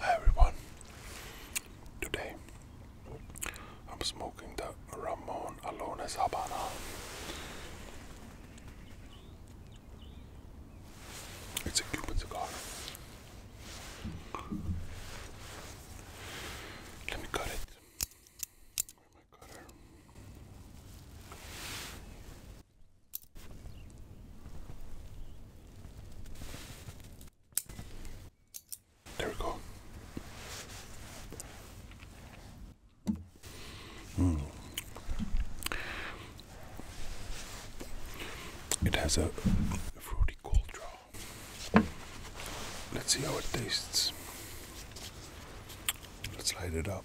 Hi everyone. Today I'm smoking the Ramon Alones Habana. It's a Cuban cigar. Let me cut it. There we go. Mm. It has a fruity cold draw. Let's see how it tastes. Let's light it up.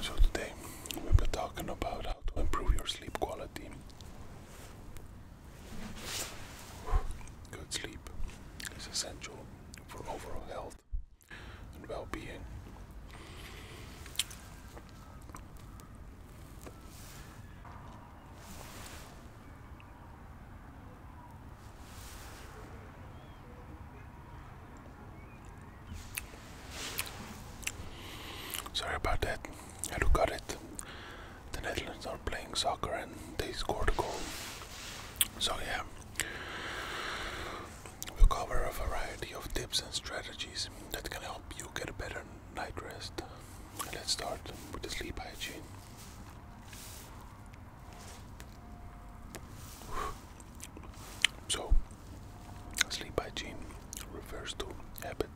So today we'll be talking about how to improve your sleep quality. Good sleep is essential for overall health and well-being. Sorry about that. I look at it. The Netherlands are playing soccer and they scored a goal. So yeah. We cover a variety of tips and strategies that can help you get better night rest. Let's start with the sleep hygiene. So, sleep hygiene refers to habit,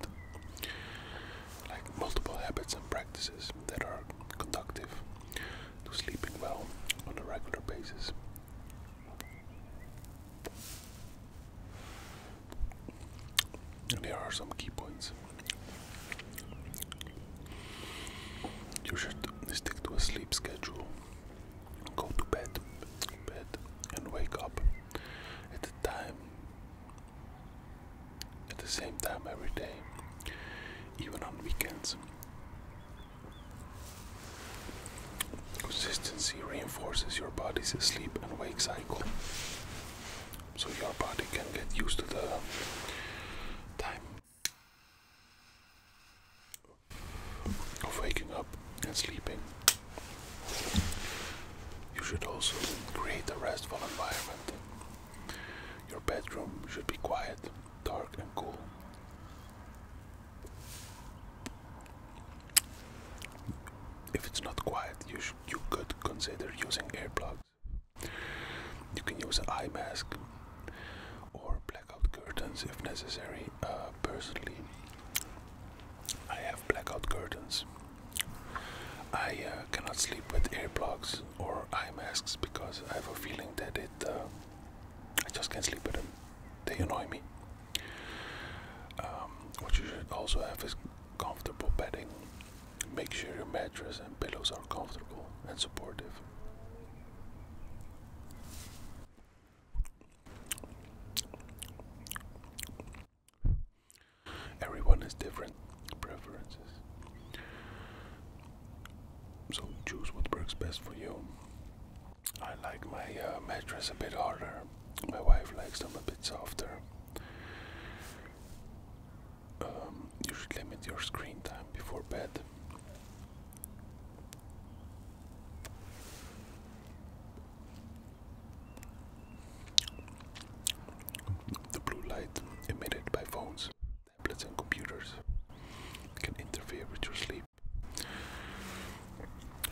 like multiple habits and practices that are conductive to sleeping well on a regular basis. And there are some key points. You should stick to a sleep schedule. Go to bed, bed, and wake up at the time, at the same time every day, even on weekends. Consistency reinforces your body's sleep and wake cycle so your body can get used to the time of waking up and sleeping. You should also create a restful environment. Your bedroom should be quiet, dark, and cool. If it's not quiet, you, should, you could consider using earplugs. You can use an eye mask or blackout curtains if necessary. Uh, personally, I have blackout curtains. I uh, cannot sleep with earplugs or eye masks because I have a feeling that it. Uh, I just can't sleep with them. They annoy me. Um, what you should also have is comfortable bedding. Make sure your mattress and pillows are comfortable and supportive. Everyone has different preferences. So choose what works best for you. I like my uh, mattress a bit harder. My wife likes them a bit softer. Um, you should limit your screen time before bed. The blue light emitted by phones, tablets, and computers can interfere with your sleep.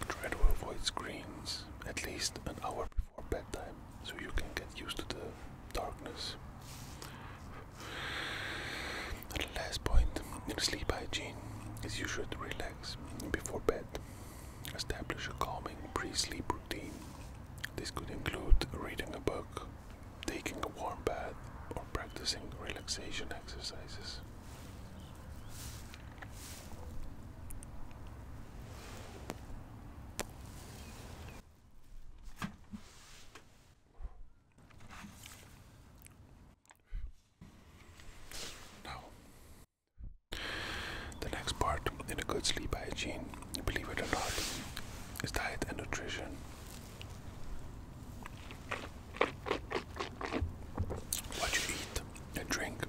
Try to avoid screens at least an hour before bedtime so you can get used to the darkness the last point in sleep hygiene is you should relax before bed. Establish a calming pre sleep routine. This could include reading a book, taking a warm bath, or practicing relaxation exercises. Now, the next part in a good sleep hygiene, believe it or not, is diet and nutrition. What you eat and drink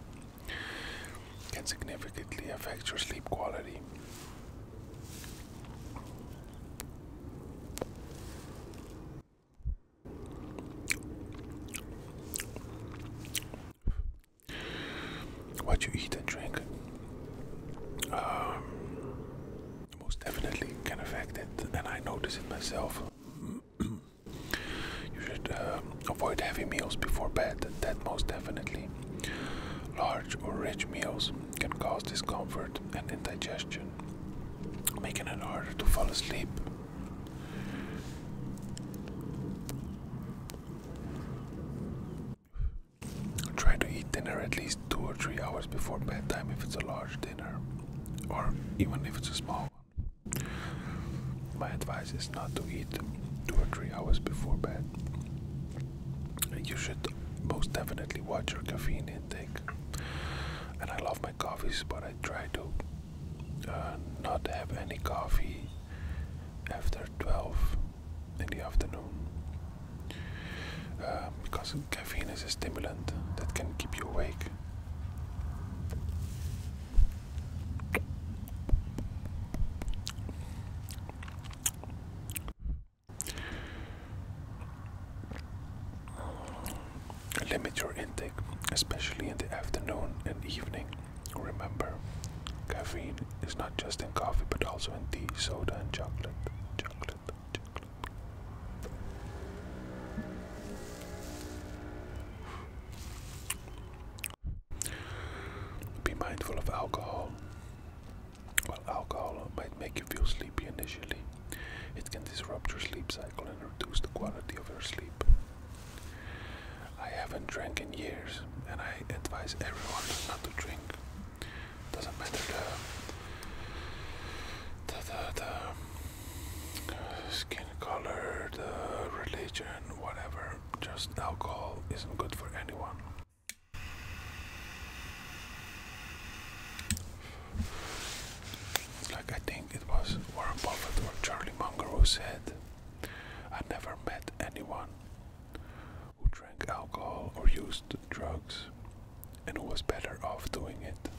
can significantly affect your sleep quality. What you eat and drink um, most definitely can affect it, and I notice it myself. you should um, avoid heavy meals before bed, that most definitely. Large or rich meals can cause discomfort and indigestion, making it harder to fall asleep. Try to eat dinner at least two or three hours before bedtime if it's a large dinner, or even if it's a small one. My advice is not to eat two or three hours before bed you should most definitely watch your caffeine intake. And I love my coffees, but I try to uh, not have any coffee after 12 in the afternoon. Uh, because caffeine is a stimulant that can keep you awake. Limit your intake, especially in the afternoon and evening. Remember, caffeine is not just in coffee but also in tea, soda, and chocolate. Chocolate, chocolate. Be mindful of alcohol. While alcohol might make you feel sleepy initially, it can disrupt your sleep cycle and reduce the quality of your sleep. I haven't drank in years, and I advise everyone not to drink. Doesn't matter the, the, the, skin color, the religion, whatever. Just alcohol isn't good for anyone. Like I think it was Warren Buffett or Charlie Munger who said, I never met anyone who drank alcohol or used drugs and who was better off doing it.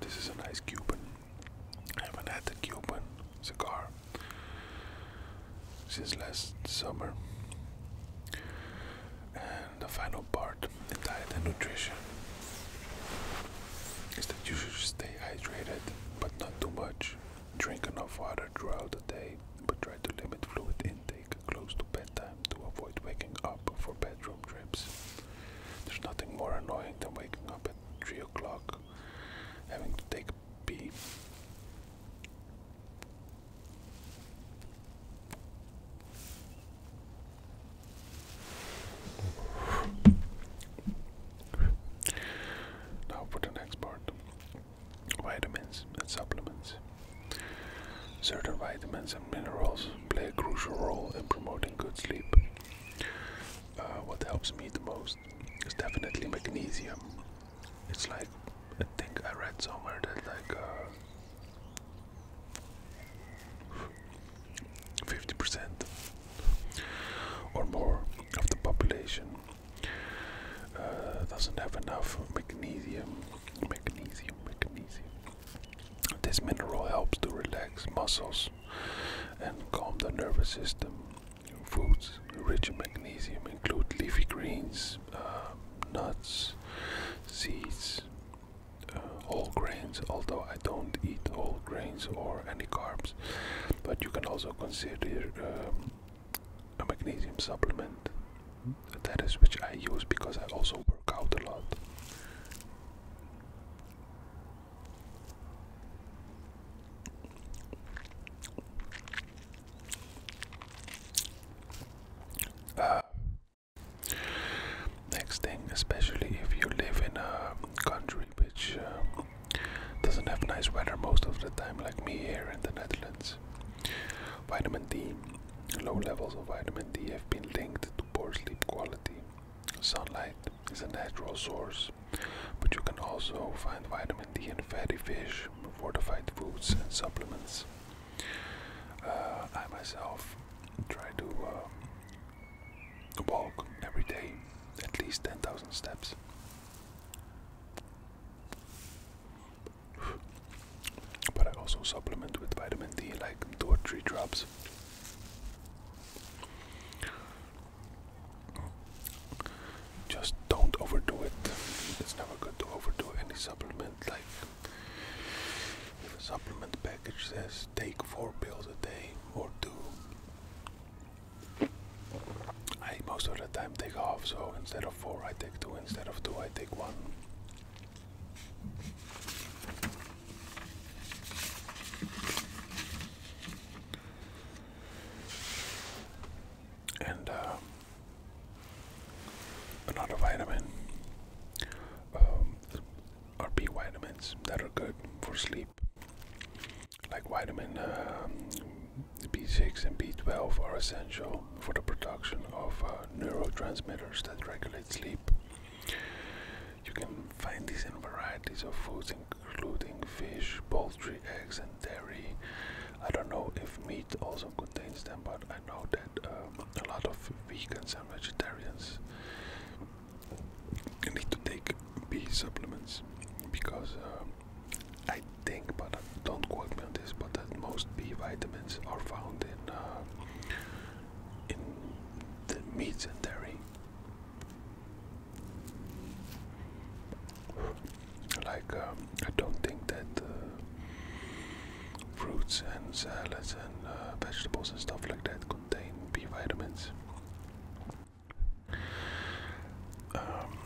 This is an ice Cuban. I haven't had a Cuban cigar since last summer. And the final part, the diet and nutrition, is that you should stay hydrated, but not too much. Drink enough water throughout the day, but try to limit fluid intake close to bedtime to avoid waking up for bedroom trips. There's nothing more annoying than waking up at 3 o'clock, having to take B. Now for the next part vitamins and supplements. Certain vitamins and minerals play a crucial role in promoting good sleep. Uh, what helps me the most it's definitely magnesium. It's like I think I read somewhere that like 50% uh, or more of the population uh, doesn't have enough magnesium. Magnesium, magnesium. This mineral helps to relax muscles and calm the nervous system. Foods rich in magnesium include leafy greens, um, nuts, seeds, uh, whole grains, although I don't eat whole grains or any carbs, but you can also consider um, a magnesium supplement. That is which I use because I also work out a lot next thing, especially if you live in a country which uh, doesn't have nice weather most of the time, like me here in the Netherlands, vitamin D, low levels of vitamin D have been linked to poor sleep quality. Sunlight is a natural source but you can also find vitamin D in fatty fish, fortified foods, and supplements. Uh, I myself try to uh, walk every day at least 10,000 steps. But I also supplement with vitamin D like two or three drops. Just don't overdo it. It's never good to overdo any supplement. Like if a supplement package says take four pills a day or two, I most of the time take half. So instead of four, I take two. Instead of two, I take one and uh, another vitamin um, are B vitamins that are good for sleep, like vitamin um, B6 and B12 are essential for the production of uh, neurotransmitters that regulate sleep. You can find these in varieties of foods, including fish, poultry, eggs, and dairy. I don't know if meat also contains them, but I know that um, a lot of vegans and vegetarians need to take B supplements because um, I think, but don't quote me on this, but that most B vitamins are found in uh, in the meats and dairy. Like, um, I don't think that fruits and salads and uh, vegetables and stuff like that contain B vitamins. Um,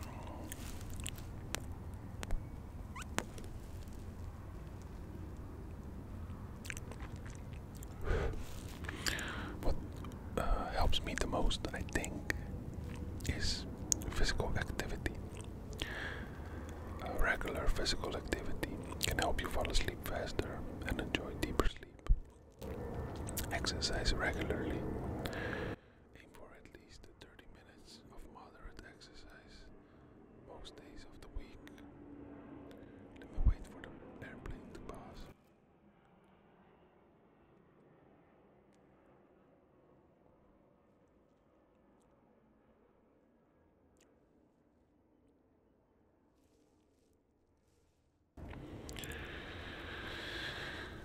what uh, helps me the most, I think, is physical activity. regular physical activity can help you fall asleep faster and enjoy deeper sleep. Exercise regularly. Aim for at least 30 minutes of moderate exercise most days of the week. Let me wait for the airplane to pass.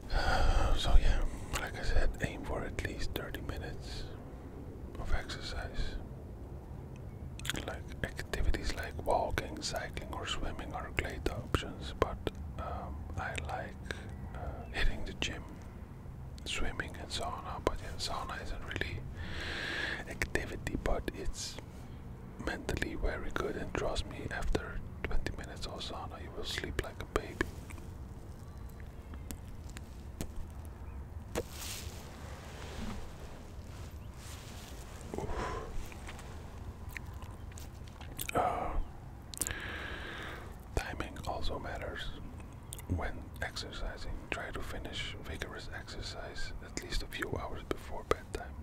So, yeah, like I said, aim for at least 30 minutes of exercise. Like activities like walking, cycling, or swimming are great options, but um, I like uh, hitting the gym, swimming, and sauna. But yeah, sauna isn't really activity, but it's mentally very good. And trust me, after 20 minutes of sauna, you will sleep like a baby. Uh, timing also matters when exercising. Try to finish vigorous exercise at least a few hours before bedtime.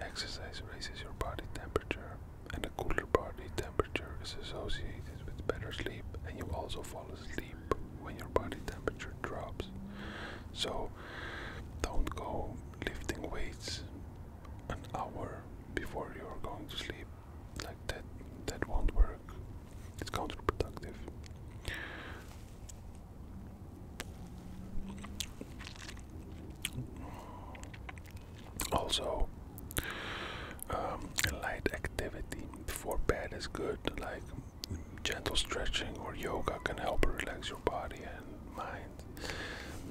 Exercise raises your body temperature, and a cooler body temperature is associated with better sleep, and you also fall asleep when your body temperature drops. So, don't go lifting weights an hour before you're going to sleep like that that won't work. It's counterproductive. Also, um, light activity before bed is good, like gentle stretching or yoga can help relax your body and mind,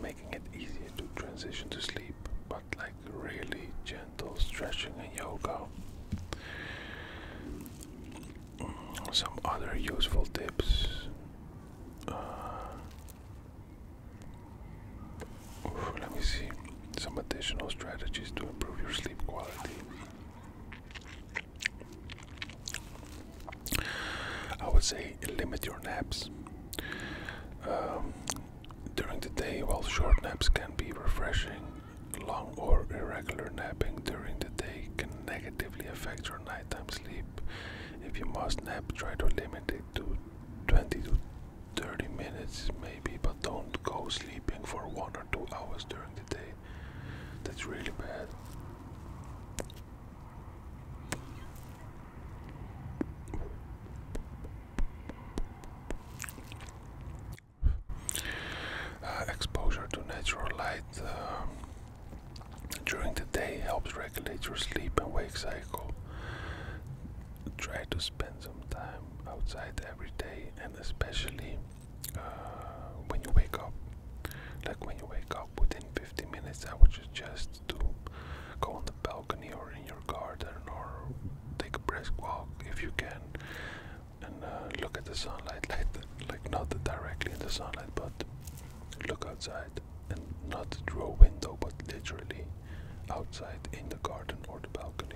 making it easier to transition to sleep. But, like, really gentle stretching and yoga. Mm, some other useful tips. Uh, let me see some additional strategies to improve your sleep quality. I would say limit your naps. Um, during the day, while short naps can be refreshing, long or irregular napping during the day can negatively affect your nighttime sleep. If you must nap, try to limit it to 20 to 30 minutes, maybe, but don't go sleeping for one or two hours during the day. That's really bad. Uh, exposure to natural light uh, during the day helps regulate your sleep and wake cycle. Try to spend some time outside every day and especially uh, when you wake up. Like when you wake up within 50 minutes, I would suggest to go on the balcony or in your garden or take a brisk walk if you can and uh, look at the sunlight like like not directly in the sunlight but look outside and not through a window but literally outside in the garden or the balcony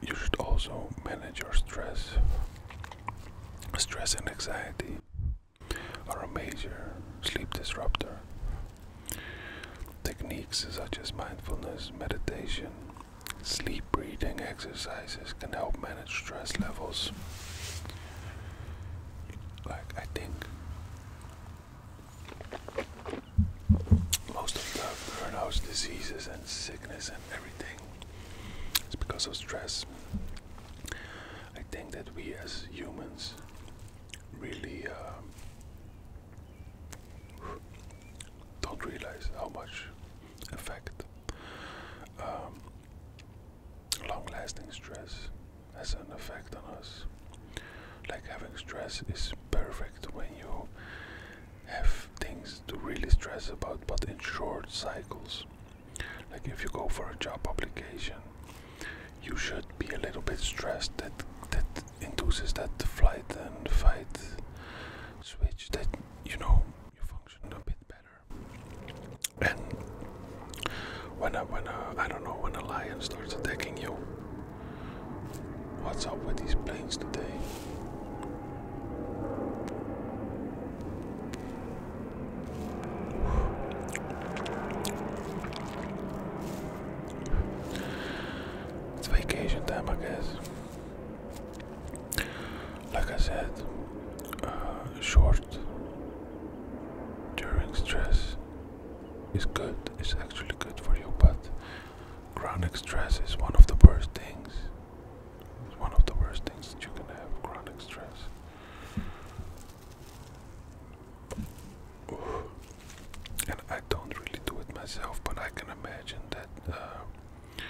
You should also manage your stress. Stress and anxiety are a major sleep disruptor. Techniques such as mindfulness, meditation, sleep breathing exercises can help manage stress levels. Like, I think most of the burnouts, diseases and sickness and everything is because of stress. I think that we as humans really um, don't realize how much effect um, long lasting stress has an effect on us. Like having stress is perfect when you have things to really stress about, but in short cycles. Like if you go for a job application, you should be a little bit stressed that that induces that flight and fight switch that you know you function a bit better. And when a, when a, I don't know when a lion starts attacking you, What's up with these planes today? It's vacation time, I guess. Like I said, uh, short during stress is good, it's actually good for you, but Chronic stress is one of the worst things. It's one of the worst things that you can have, chronic stress. And I don't really do it myself, but I can imagine that uh,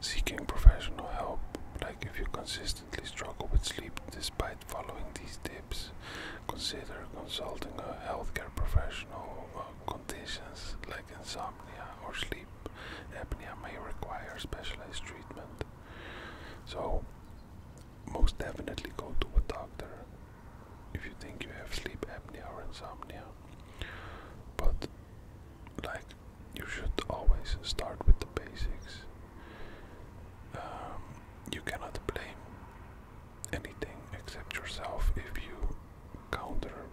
seeking professional help, like if you consistently struggle with sleep despite following these tips. Consider consulting a healthcare professional. Uh, conditions like insomnia or sleep apnea may require specialized treatment. So, most definitely go to a doctor if you think you have sleep apnea or insomnia. But, like, you should always start with the basics. Um, you cannot blame anything except yourself if you counter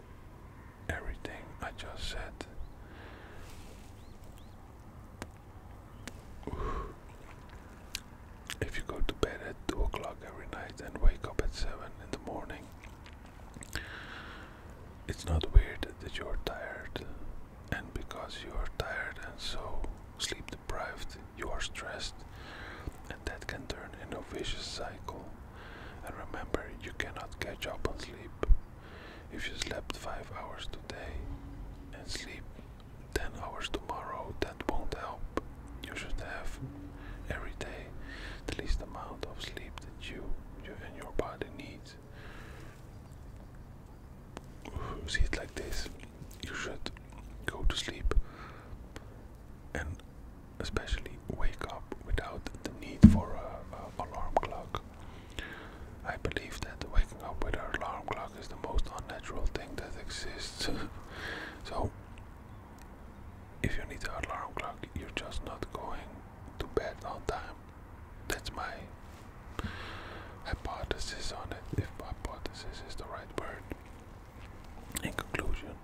everything I just said. If you go to bed at 2 o'clock every night and wake up at 7 in the morning, it's not weird that you're tired, and because you are tired and so sleep deprived, you are stressed, and that can turn into a vicious cycle. And remember, you cannot catch up on sleep. If you slept 5 hours today and sleep 10 hours tomorrow, that won't help. You should have every day the least amount of sleep that you, you and your body needs. See it like this you should go to sleep and especially wake up without the need for an alarm clock. I believe that waking up with an alarm clock is the most unnatural thing that exists. so, if you need an alarm clock, you're just not going to bed on time. That's my hypothesis on it, if hypothesis is the right word. In conclusion,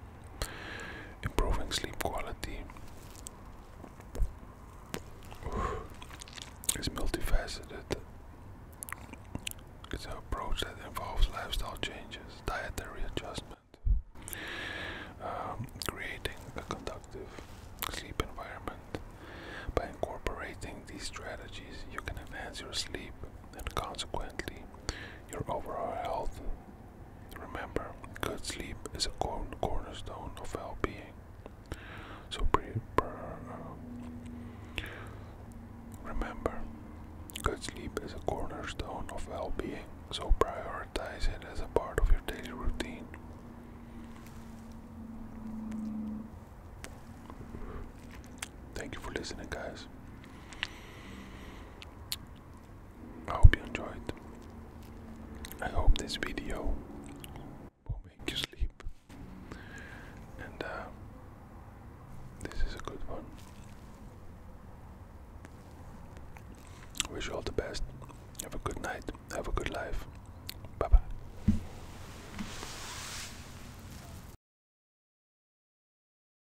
improving sleep quality is multifaceted. It's an approach that involves lifestyle changes, dietary adjustment, um, creating a conductive sleep environment. By incorporating these strategies, you can enhance your sleep and consequently your overall health. Remember, good sleep is a cornerstone of well being. So, uh, remember, good sleep is a cornerstone of well being, so prioritize it as a part of your daily routine. Thank you for listening, guys. I hope you enjoyed. I hope this video will make you sleep. And uh, this is a good one. Wish you all the best. Have a good night. Have a good life. Bye bye.